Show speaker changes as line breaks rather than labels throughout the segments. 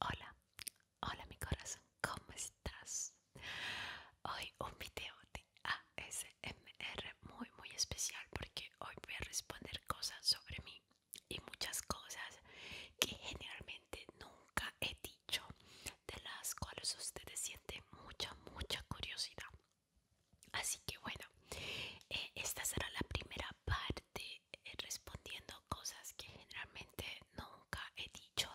Hola, hola mi corazón, ¿cómo estás? Hoy un video de ASMR muy muy especial porque hoy voy a responder cosas sobre mí y muchas cosas que generalmente nunca he dicho, de las cuales ustedes sienten mucha mucha curiosidad. Así que bueno, eh, esta será la primera parte eh, respondiendo cosas que generalmente nunca he dicho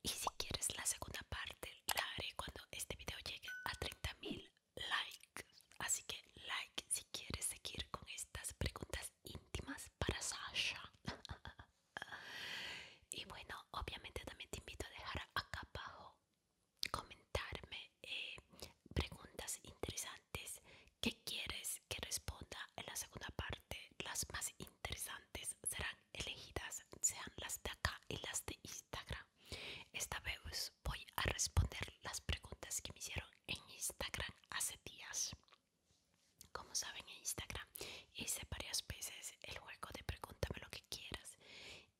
y si quieres la segunda parte la haré cuando este vídeo llegue a 30.000 likes así que like si quieres seguir con estas preguntas íntimas para Sasha y bueno obviamente también te invito a dejar acá abajo comentarme eh, preguntas interesantes qué que quieres que responda en la segunda parte. Las más interesantes serán elegidas, sean las de acá y las de Instagram. Esta vez voy a responder las preguntas que me hicieron en Instagram hace días. Como saben, en Instagram hice varias veces el juego de pregúntame lo que quieras.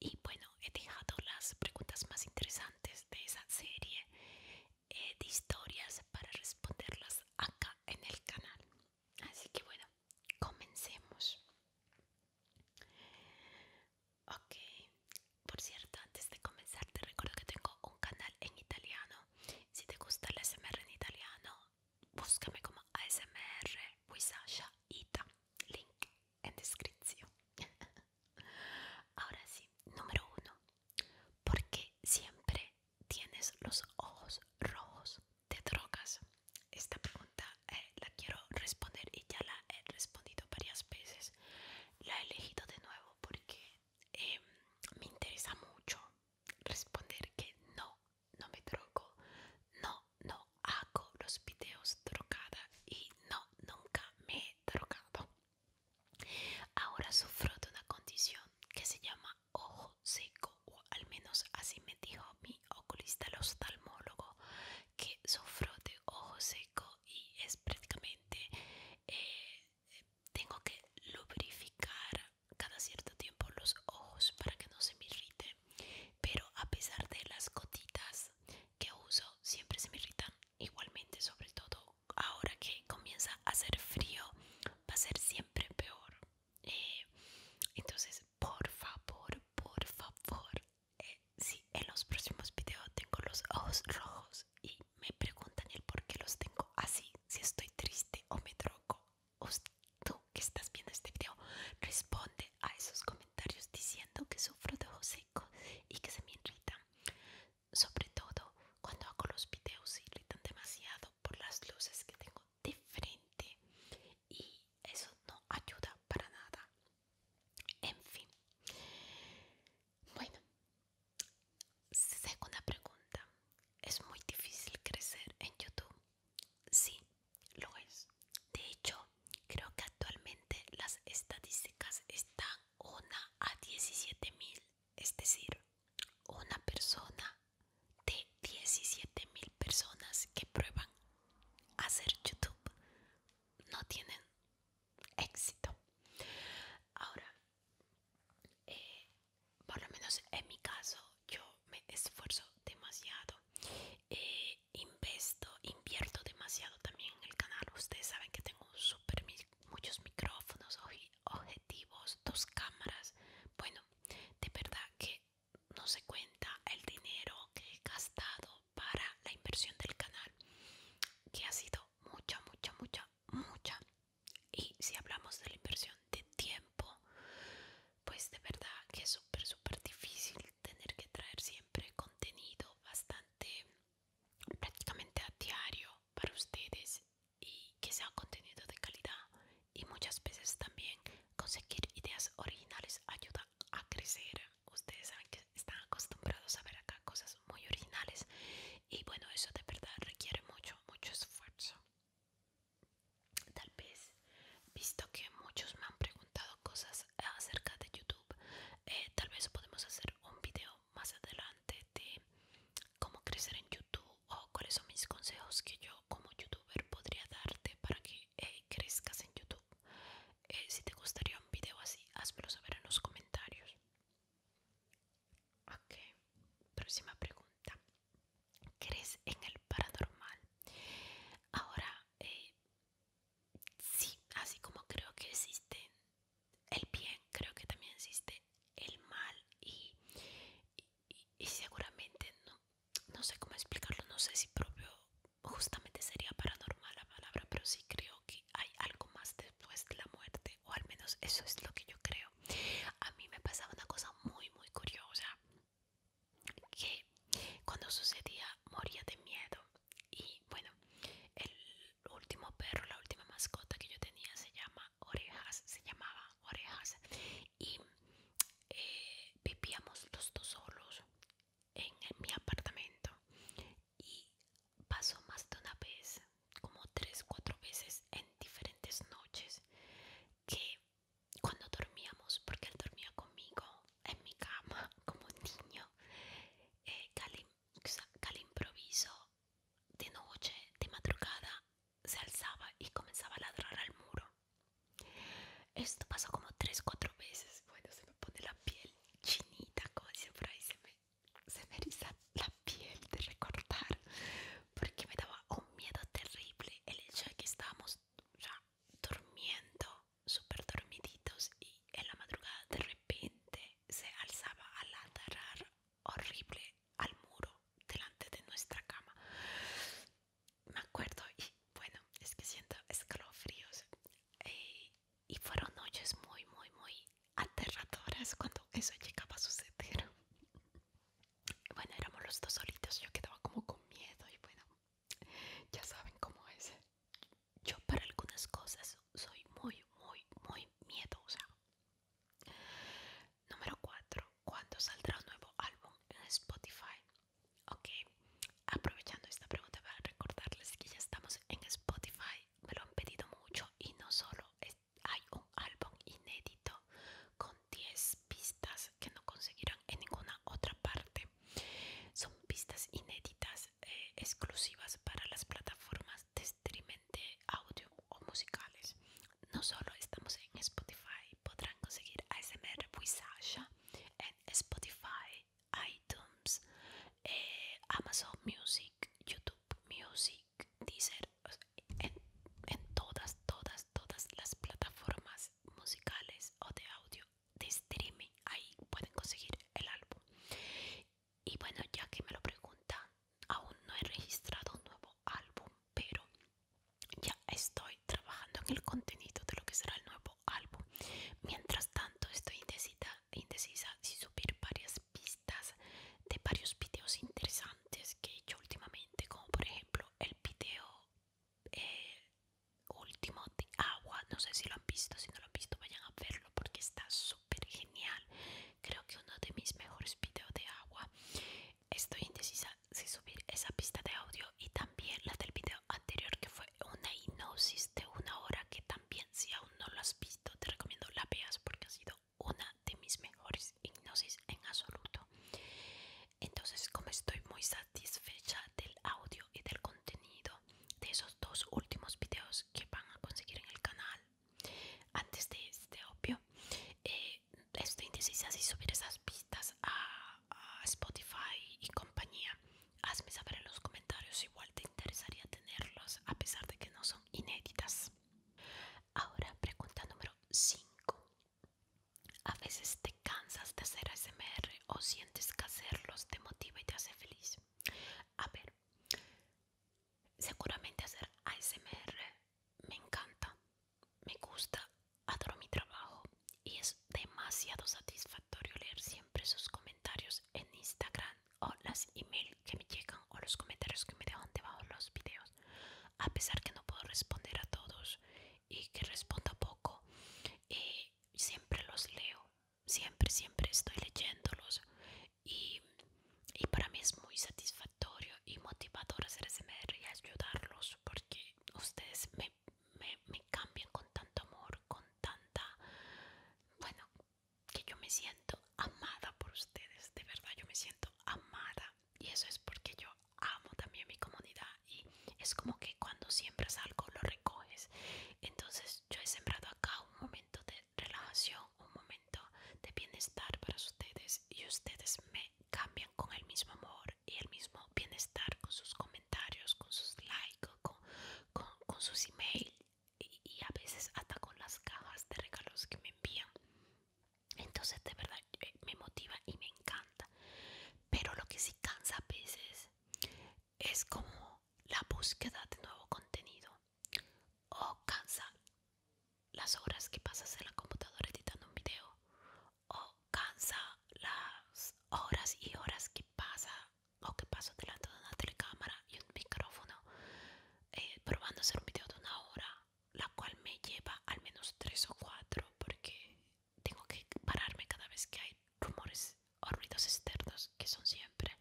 Y bueno, he dejado las preguntas más interesantes de esa serie eh, de historias para responderlas acá en el canal. Así que bueno, comencemos. Ok, por cierto, antes de comenzar te recuerdo que tengo un canal en italiano. Si te gusta el ASMR en italiano, búscame como ASMR Wisasha Ita. Link en descripción. Ahora sí, número uno. Porque siempre tienes los ojos rojos ¿Te drogas? Esta pregunta eh, la quiero responder y ya la he respondido varias veces. La he elegido de nuevo porque em, me interesa mucho responder que no, no me drogo, no, no hago los videos drogada y no, nunca me he drogado. Ahora sufro de una condición que se llama ojo seco, o al menos así me dijo mi oculista, el oftalmólogo, que sufro de ojo seco y es prácticamente eh, tengo que lubrificar cada cierto tiempo los ojos para que no se me irrite. Pero a pesar de las gotitas que uso, siempre se me irritan igualmente, sobre todo ahora que comienza a hacer frío va a ser siempre peor eh, entonces por favor por favor eh, si en los próximos videos tengo los ojos rojos y me preguntan el por qué los tengo así si estoy triste o me drogo tú que estás viendo este video responde a esos comentarios diciendo que sufro de ojos secos y que se me irritan sobre todo cuando hago los videos y irritan demasiado por las luces que tengo de frente y eso no ayuda para nada en fin bueno segunda pregunta es muy difícil crecer en youtube sí lo es de hecho creo que actualmente las estadísticas están una a 17 mil es decir, una persona de 17 mil personas que prueban hacer YouTube no tienen éxito. Ahora, eh, por lo menos en mi caso, yo me esfuerzo demasiado, eh, investo, invierto demasiado también en el canal. Ustedes saben que tengo un super muchos micrófonos, objetivos, dos cámaras. Bueno, de verdad que no se cuenta el dinero que he gastado para la inversión del canal, que ha sido mucha, mucha, mucha, mucha. Y si hablamos de la inversión de tiempo, pues de verdad que es súper, súper difícil tener que traer siempre contenido bastante prácticamente a diario para ustedes y que sea contenido de calidad y muchas veces también conseguir ideas originales ayuda a crecer ustedes están acostumbrados a ver acá cosas muy originales y bueno eso de verdad requiere mucho mucho esfuerzo tal vez visto que muchos me han preguntado cosas acerca de youtube eh, tal vez podemos hacer un video más adelante de cómo crecer en youtube o cuáles son mis consejos que yo como youtuber podría darte para que eh, crezcas en YouTube. Eh, si te gustaría un video así, házmelo saber en los comentarios. Ok, próxima pregunta. ¿Crees en el paranormal? Ahora, eh, sí, así como creo que existe el bien, creo que también existe el mal y, seguramente no, no sé cómo explicarlo, no sé si propio justamente sería paranormal la palabra, pero sí creo que hay algo más después de la muerte, o al menos eso es lo que yo creo. A mí me pasaba una cosa muy, muy curiosa, que cuando sucedía moría de miedo y bueno, el último perro, la última mascota que yo tenía se llama Orejas, se llamaba orejas y bebíamos eh, los dos solos en, mi apartamento y pasó más de una vez como tres cuatro veces en diferentes noches que cuando dormíamos porque él dormía conmigo en mi cama como niño que eh, al improviso de noche de madrugada se alzaba y comenzaba a ladrar al muro. Esto pasó como 3-4 veces. Bueno, se me pone la piel chinita, como siempre se me, se me eriza la piel de recordar, porque me daba un miedo terrible el hecho de que estábamos ya durmiendo, súper dormiditos, y en la madrugada de repente se alzaba a ladrar horrible al muro delante de nuestra cama. Me acuerdo y bueno, es que siento escalofríos. Eh, y fueron noches muy, muy, muy aterradoras cuando eso llegaba a suceder. Bueno, éramos los dos solitos, yo quedaba como con miedo y bueno, ya saben cómo es. Yo para algunas cosas soy muy, muy, muy miedosa. Número 4. ¿Cuándo saldrá un nuevo álbum en Spotify? Ok, aprovechando esta pregunta para recordarles que ya estamos en Spotify. Me lo han pedido mucho y no solo hay un álbum inédito con 10 pistas que no conseguirán en ninguna otra parte. Son pistas inéditas eh, exclusivas para las plataformas de streaming de audio o musicales. No solo estamos en Spotify, podrán conseguir ASMR Wisasha en Spotify, iTunes, eh, Amazon Music, YouTube Music, Deezer, en todas, todas, todas las plataformas musicales o de audio de streaming. Ahí pueden conseguir el álbum. Y bueno, ya que me lo preguntan, aún no he registrado un nuevo álbum, pero ya estoy trabajando en el contenido de lo que será el nuevo álbum. Mientras tanto, estoy indecisa, indecisa si subir varias pistas de varios videos interesantes que he hecho últimamente, como por ejemplo el video eh, último de agua. No sé si lo han visto, si no lo han visto, vayan a verlo porque está súper genial creo que uno de mis mejores videos de agua estoy indecisa si subir esa pista de audio y también la del video anterior que fue una hipnosis de una hora que también si aún no lo has visto te recomiendo la veas porque ha sido una de mis mejores hipnosis en absoluto entonces como estoy muy satisfecha del audio y del contenido de esos dos últimos videos que van a conseguir en el canal antes de este obvio eh, esto indecisa si subir esas pistas a, a Spotify y compañía. Hazme saber en los comentarios, igual te interesaría tenerlos a pesar de que no son inéditas. Ahora, pregunta número 5. A veces te cansas de hacer ASMR o sientes que hacerlos te motiva y te hace feliz. A ver, seguramente hacer ASMR me encanta, me gusta, adoro mi trabajo y es demasiado satisfactorio leer siempre sus comentarios en Instagram o las email que me llegan o los comentarios que me dejan debajo de los videos. A pesar que no puedo responder a todos y que respondo poco, eh, siempre los leo, siempre, siempre estoy leyéndolos y, y para mí es muy satisfactorio y motivador hacer SMR y ayudarlos porque ustedes me, me, me cambian con tanto amor, con tanta... Bueno, que yo me siento amada por ustedes, de verdad yo me siento amada y eso es porque yo amo también mi comunidad y es como que cuando siembras algo lo recoges. Entonces yo he sembrado acá un momento de relajación, un momento de bienestar para ustedes y ustedes me cambian con el mismo amor y el mismo bienestar con sus comentarios, con sus likes, con, sus emails y, y a veces hasta con las cajas de regalos que me envían. Entonces de verdad eh, me motiva y me encanta. Pero lo que sí cansa a veces es como la búsqueda de nuevo contenido. O oh, cansa las horas que pasas en la computadora editando un video o cansa las horas y horas que pasa o que paso delante de una telecámara y un micrófono eh, probando hacer un video de una hora la cual me lleva al menos tres o cuatro porque tengo que pararme cada vez que hay rumores o ruidos externos que son siempre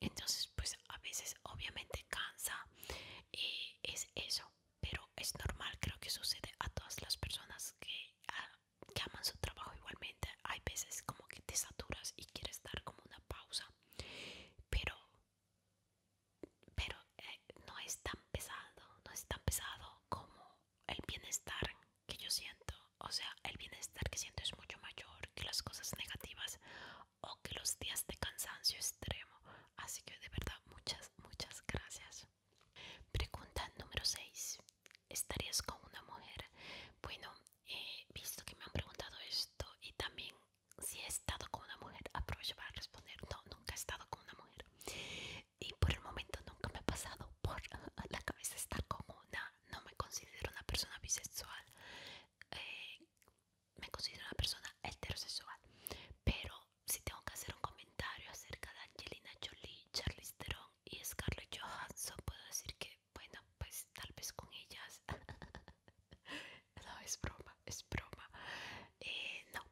entonces pues a veces obviamente cansa y es eso pero es normal, creo que sucede a todas las personas que, llaman ah, aman su trabajo igualmente. Hay veces como que te saturas y quieres dar como una pausa, pero, pero eh, no es tan pesado, no es tan pesado como el bienestar que yo siento. O sea, el bienestar que siento es mucho mayor que las cosas negativas o que los días de cansancio extremo. Así que de verdad, muchas, muchas gracias. Pregunta número 6. ¿Estarías con una mujer? Bueno, eh, visto que me han preguntado esto y también si he estado con una mujer, aprovecho para responder. No, nunca he estado con una mujer. Y por el momento nunca me ha pasado por la cabeza estar con una. No me considero una persona bisexual. Eh, me considero una persona heterosexual. Pero si tengo que hacer un comentario acerca de Angelina Jolie, Charlize Theron y Scarlett Johansson, puedo decir que, bueno, pues tal vez con ellas. no, es broma, es broma. Eh, no,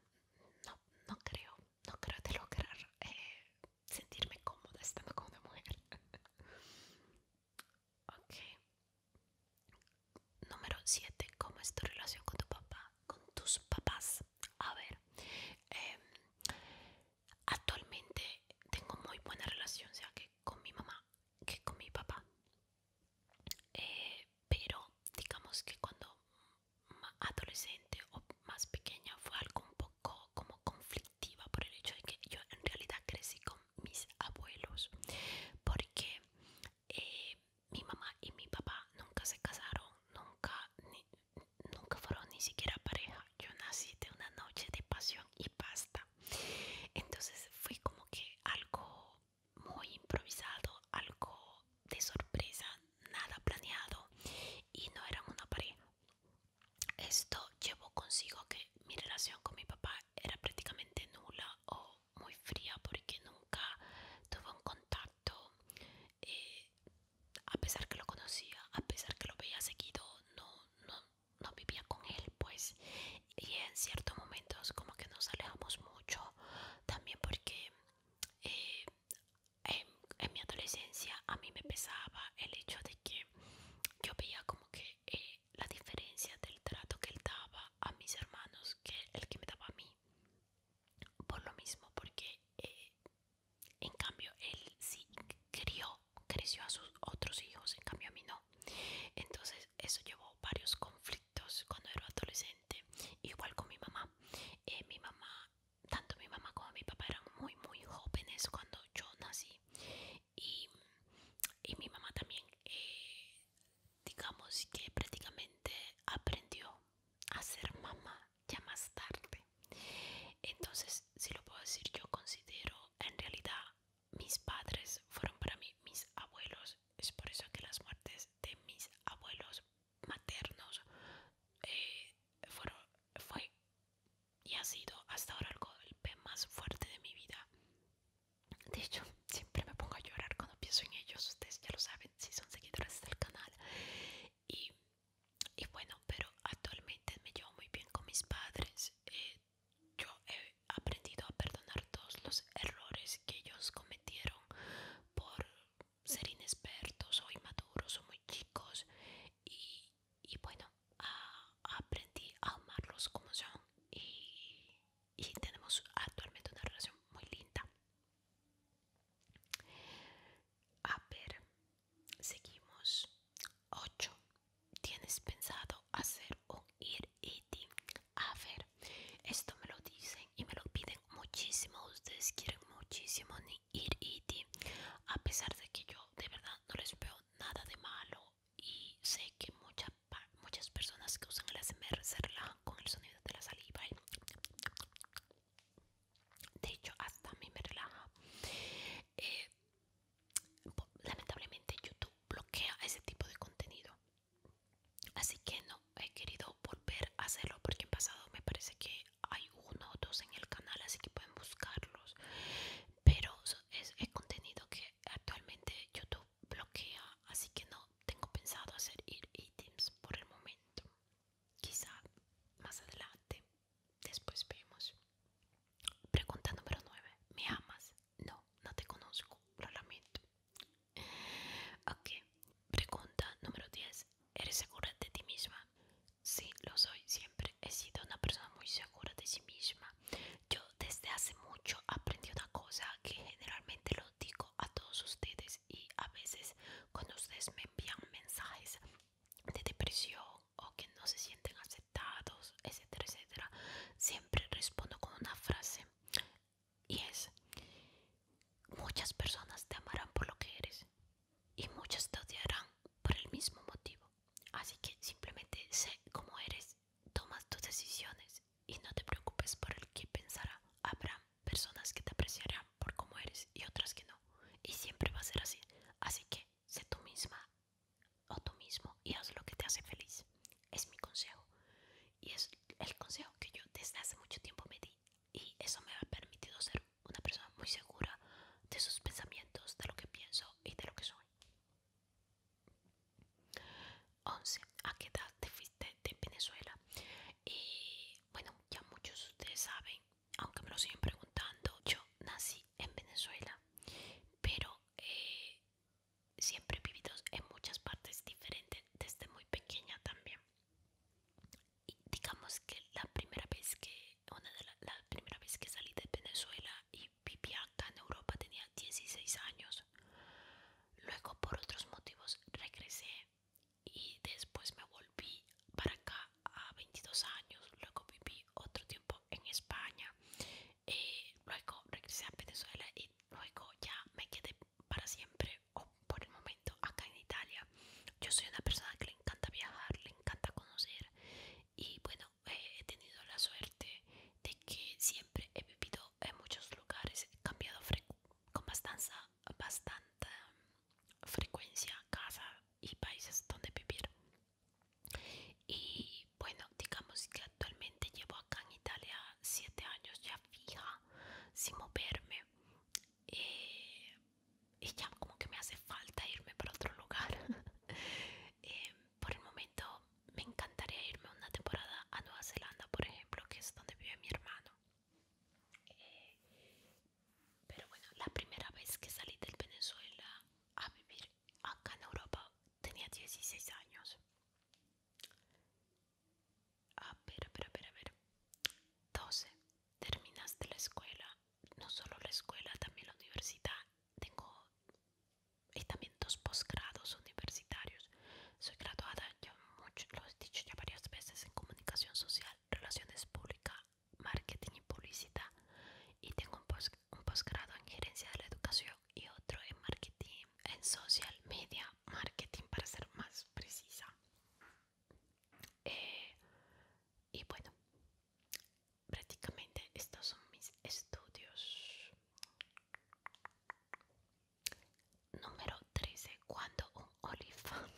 no, no creo, no creo de lograr eh, sentirme cómoda estando con una mujer. ok. Número 7. ¿Cómo es tu relación con tu papá? con tus papás. A ver, em, actualmente tengo muy buena relación, sea que con mi mamá, que con mi papá. Eh, pero digamos que cuando adolescente o más pequeña fue algo un poco como conflictiva por el hecho de que yo en realidad crecí con mis abuelos porque eh, mi mamá y mi papá nunca se casaron, nunca, nunca fueron ni siquiera pareja. Yo nací de una noche de pasión y pasta. Entonces fue como que algo muy improvisado, algo de sorpresa, nada planeado y no eran una pareja. Esto llevó consigo que mi relación con mi papá era prácticamente nula o muy fría porque nunca tuve un contacto eh, a pesar que lo conocía, a pesar que lo veía seguido, no, vivía con él, pues. Y en ciertos momentos como que nos alejamos mucho, también porque eh, en, mi adolescencia a mí me pesaba el hecho de que yo veía como que eh, la diferencia del trato que él daba a mis hermanos que el que me daba a mí por lo mismo, porque eh, en cambio él sí crió, creció a sus otros hijos, en cambio a mí no. Entonces eso llevó varios conflictos cuando era adolescente, igual con mi mamá. Eh, mi mamá, tanto mi mamá como mi papá eran muy, muy jóvenes cuando yo nací. Y, mi mamá también, eh, digamos que prácticamente aprendió a ser mamá ya más tarde. Entonces, si lo puedo decir, yo considero en realidad mis padres fueron para mí mis abuelos. Es por eso que las muertes de mis abuelos maternos eh, fueron, fue y ha sido hasta ahora el golpe más fuerte de mi vida. De hecho, siempre me pongo a llorar cuando pienso en ellos. Ustedes ya lo saben si son seguidores del canal y, y bueno pero actualmente me llevo muy bien con mis padres eh, yo he aprendido a perdonar todos los errores que ellos cometieron por ser inexpertos o inmaduros o muy chicos y, bueno aprendí a amarlos como son y tenemos actualmente una relación muy linda a ver, seguimos. 8. ¿Tienes pensado hacer un ir eating? A ver, esto me lo dicen y me lo piden muchísimo. Ustedes quieren muchísimo ni ir eating A pesar de que yo de verdad no les veo nada de malo y sé que muchas muchas personas que usan el ASMR se relajan con el sonido de la saliva de hecho hasta a mí me relaja eh, lamentablemente youtube bloquea ese tipo de contenido así que no he querido volver a hacerlo porque en pasado me parece que hay uno o dos en el canal así que pueden buscarlos pero es, contenido que actualmente youtube bloquea así que no tengo pensado hacer items por el momento Quizá más adelante, después vemos. Pregunta número 9. ¿Me amas? No, no te conozco, lo lamento. Ok. Pregunta número 10. ¿Eres segura de ti misma? Sí, lo soy. Siempre he sido una persona muy segura de sí misma. Yo desde hace mucho aprendí una cosa que generalmente lo digo a todos ustedes y a veces cuando ustedes me envían mensajes de depresión o que no se sienten aceptados, etcétera, etcétera, siempre respondo con una frase y es, muchas personas te amarán por lo que eres y muchas te odiarán por el mismo motivo. Así que simplemente sé cómo eres, tomas tus decisiones y no te preocupes por el que pensará Abraham personas que te apreciarán por cómo eres y otras que no. Y siempre va a ser así. Así que sé tú misma o tú mismo y haz lo que te hace feliz. Es mi consejo. Y es el consejo que yo desde hace mucho tiempo me di. Y eso me ha permitido ser una persona muy segura de sus pensamientos, de lo que pienso y de lo que soy. 11. ¿A qué edad te fuiste de Venezuela? Y bueno, ya muchos de ustedes saben aunque me lo siguen preguntando, yo nací en Venezuela, pero eh, siempre he vivido en muchas partes diferentes desde muy pequeña también. Y digamos que la primera vez que, una de la, primera vez que salí de Venezuela y vivía acá en Europa tenía 16 años. Luego por otros motivos regresé y después me volví para acá a 22 años, luego viví otro tiempo en España, eh, luego regresé a Venezuela y luego ya me quedé para siempre o por el momento acá en Italia. Yo soy una persona que le encanta viajar, le encanta conocer y bueno, eh, he tenido la suerte de que siempre he vivido en muchos lugares, he cambiado con bastante, bastante frecuencia, casa y países donde vivir. Y bueno, digamos que actualmente llevo acá en Italia siete años ya fija, sin moverme. Eh, y ya como que me hace falta irme para otro lugar. Eh, por el momento me encantaría irme una temporada a Nueva Zelanda, por ejemplo, que es donde vive mi hermano. Pero bueno, la primera vez que salí del Venezuela a vivir acá en Europa tenía 16 años. Ah, a ver, a ver, a ver, 12. Terminaste la escuela. No solo la escuela, también la universidad. Tengo y también dos posgrados universitarios. Soy graduada, ya lo he dicho ya varias veces, en comunicación social, relaciones públicas marketing y publicidad y tengo un, un posgrado en gerencia de la educación y otro en marketing, en social media marketing para ser más precisa. Eh, y bueno, prácticamente estos son mis estudios. Número 13. Cuando un olifant?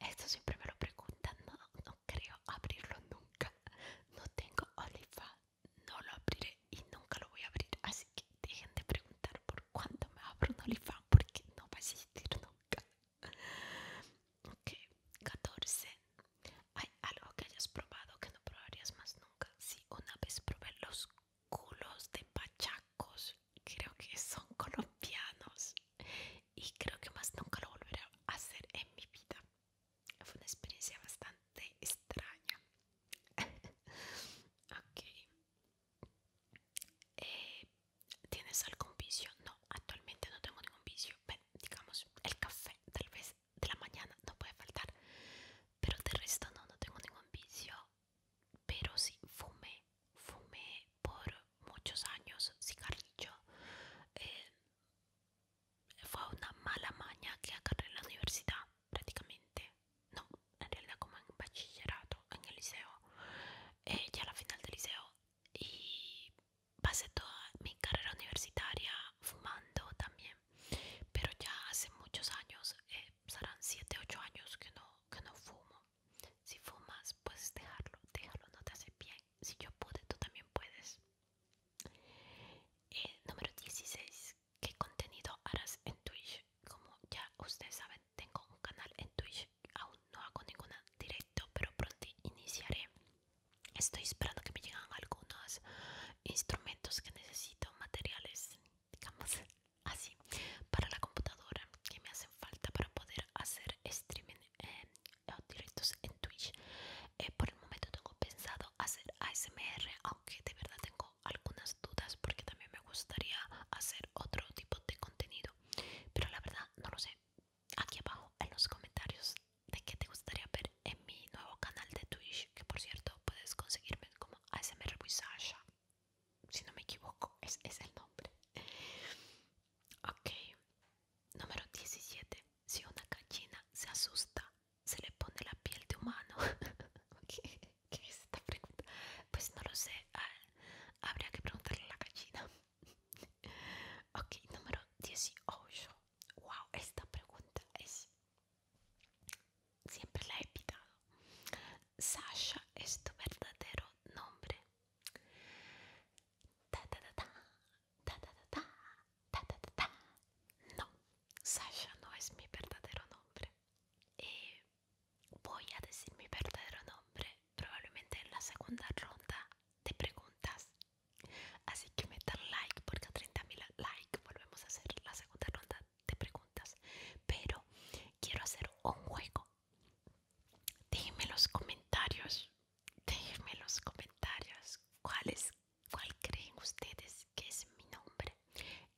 Esto siempre me lo preguntan, no, no creo abrirlo nunca. No tengo olifa, no lo abriré y nunca lo voy a abrir. Así que dejen de preguntar por cuándo me abro un olifant porque no va a existir nunca. Ok, 14. ¿Hay algo que hayas probado que no probarías más nunca? si una vez probé los culos de pachacos. Creo que son colombianos y creo que más nunca lo volveré a hacer en mi vida. Fue una experiencia bastante extraña. Eh, ¿Tienes algún vicio? No, actualmente no tengo ningún vicio. Ven, digamos, el café tal vez de la mañana no puede faltar. Pero de resto no, no tengo ningún vicio. Pero sí fumé fumé por muchos años cigarrillo. Eh, fue una mala maña que agarré en la universidad prácticamente. No, en realidad como en bachillerato, en el liceo. Eh, ya la final del liceo. Y pasé toda mi carrera universitaria fumando también. Pero ya hace muchos años, eh, serán 7, 8 años que que no fumo. Si fumas, puedes dejarlo, déjalo, no te hace bien. Si yo puedo tú también puedes. Eh, número 16. ¿Qué contenido harás en Twitch? Como ya ustedes saben, tengo un canal en Twitch. Aún no hago ninguna directo, pero pronto iniciaré. Estoy esperando que me lleguen algunos instrumentos que necesito, materiales, digamos así, para la computadora que me hacen falta para poder hacer streaming eh, directos en Twitch. Eh, por el momento tengo pensado hacer ASMR, aunque de verdad tengo algunas dudas porque también me gustaría hacer otro tipo de contenido. Pero la verdad no lo sé. Aquí abajo en los comentarios de qué te gustaría ver en mi nuevo canal de Twitch, que por cierto puedes conseguirme como ASMR Si no me equivoco, es el nombre. Ok, Número 17. Si una gallina se asusta, se le pone la piel de humano. ¿Qué, es esta pregunta? Pues no lo sé. Ah, habría que preguntarle a la gallina. ok, número 18. Wow, esta pregunta es. Siempre la he pitado. Sasha es tu verdadero nombre. Ta No, Sasha no es mi verdadero nombre. Eh, voy a decir mi verdadero nombre probablemente en la segunda ronda de preguntas. Así que metan like porque a 30.000 likes volvemos a hacer la segunda ronda de preguntas. Pero quiero hacer un juego. Díganme en los comentarios déjenme en los comentarios cuál, cuál creen ustedes que es mi nombre.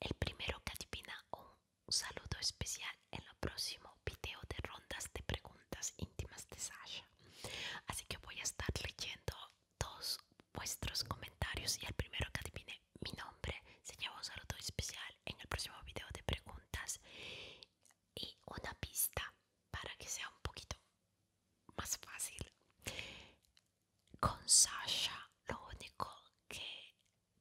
El primero que adivina un saludo especial en el próximo video de rondas de preguntas íntimas de Sasha. Así que voy a estar leyendo todos vuestros comentarios y el primero que adivine mi nombre se lleva un saludo especial en el próximo video de preguntas y una pista para que sea un poquito más fácil. Con Sasha, lo único que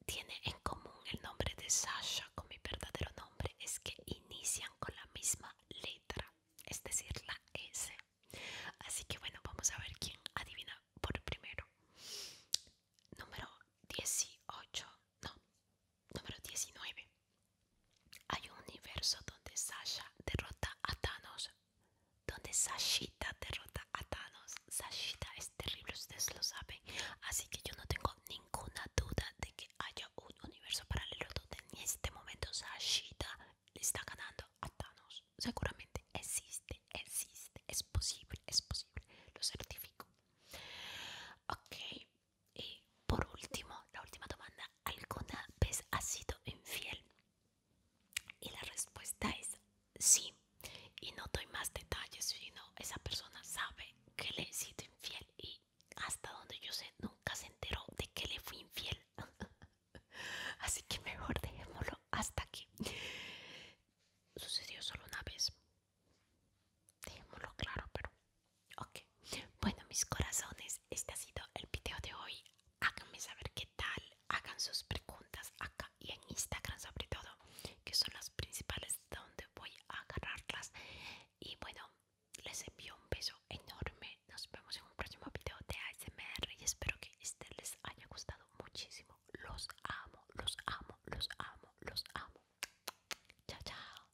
tiene en común el nombre de Sasha con mi verdadero nombre es que inician con la misma letra, es decir, la S. Así que bueno, vamos a ver quién adivina por primero. Número 18 no, número 19. Hay un universo donde Sasha derrota a Thanos. Donde Sashita derrota a Thanos. Sashita es terrible, ustedes lo saben. Así que yo no tengo ninguna duda de que haya un universo paralelo donde en este momento Sashita le está ganando a Thanos. Seguramente existe, existe, es posible, es posible. Lo certifico. Ok, y por último, la última pregunta ¿alguna vez has sido infiel? Y la respuesta es sí. Y no doy más detalles, sino esa persona sabe que le he sido infiel y hasta donde yo sé nunca se enteró de que le fui infiel. Así que mejor dejémoslo hasta aquí. Sucedió solo una vez. Dejémoslo claro, pero Ok, bueno mis corazones, este ha sido el video de hoy. Háganme saber qué tal, hagan sus preguntas acá y en Instagram sobre todo, que son las principales donde voy a agarrarlas. Y bueno, les envío un beso enorme. Nos vemos en un próximo video de ASMR y espero que este les haya gustado muchísimo. Los amo, los amo, los amo, los amo. Chao, chao.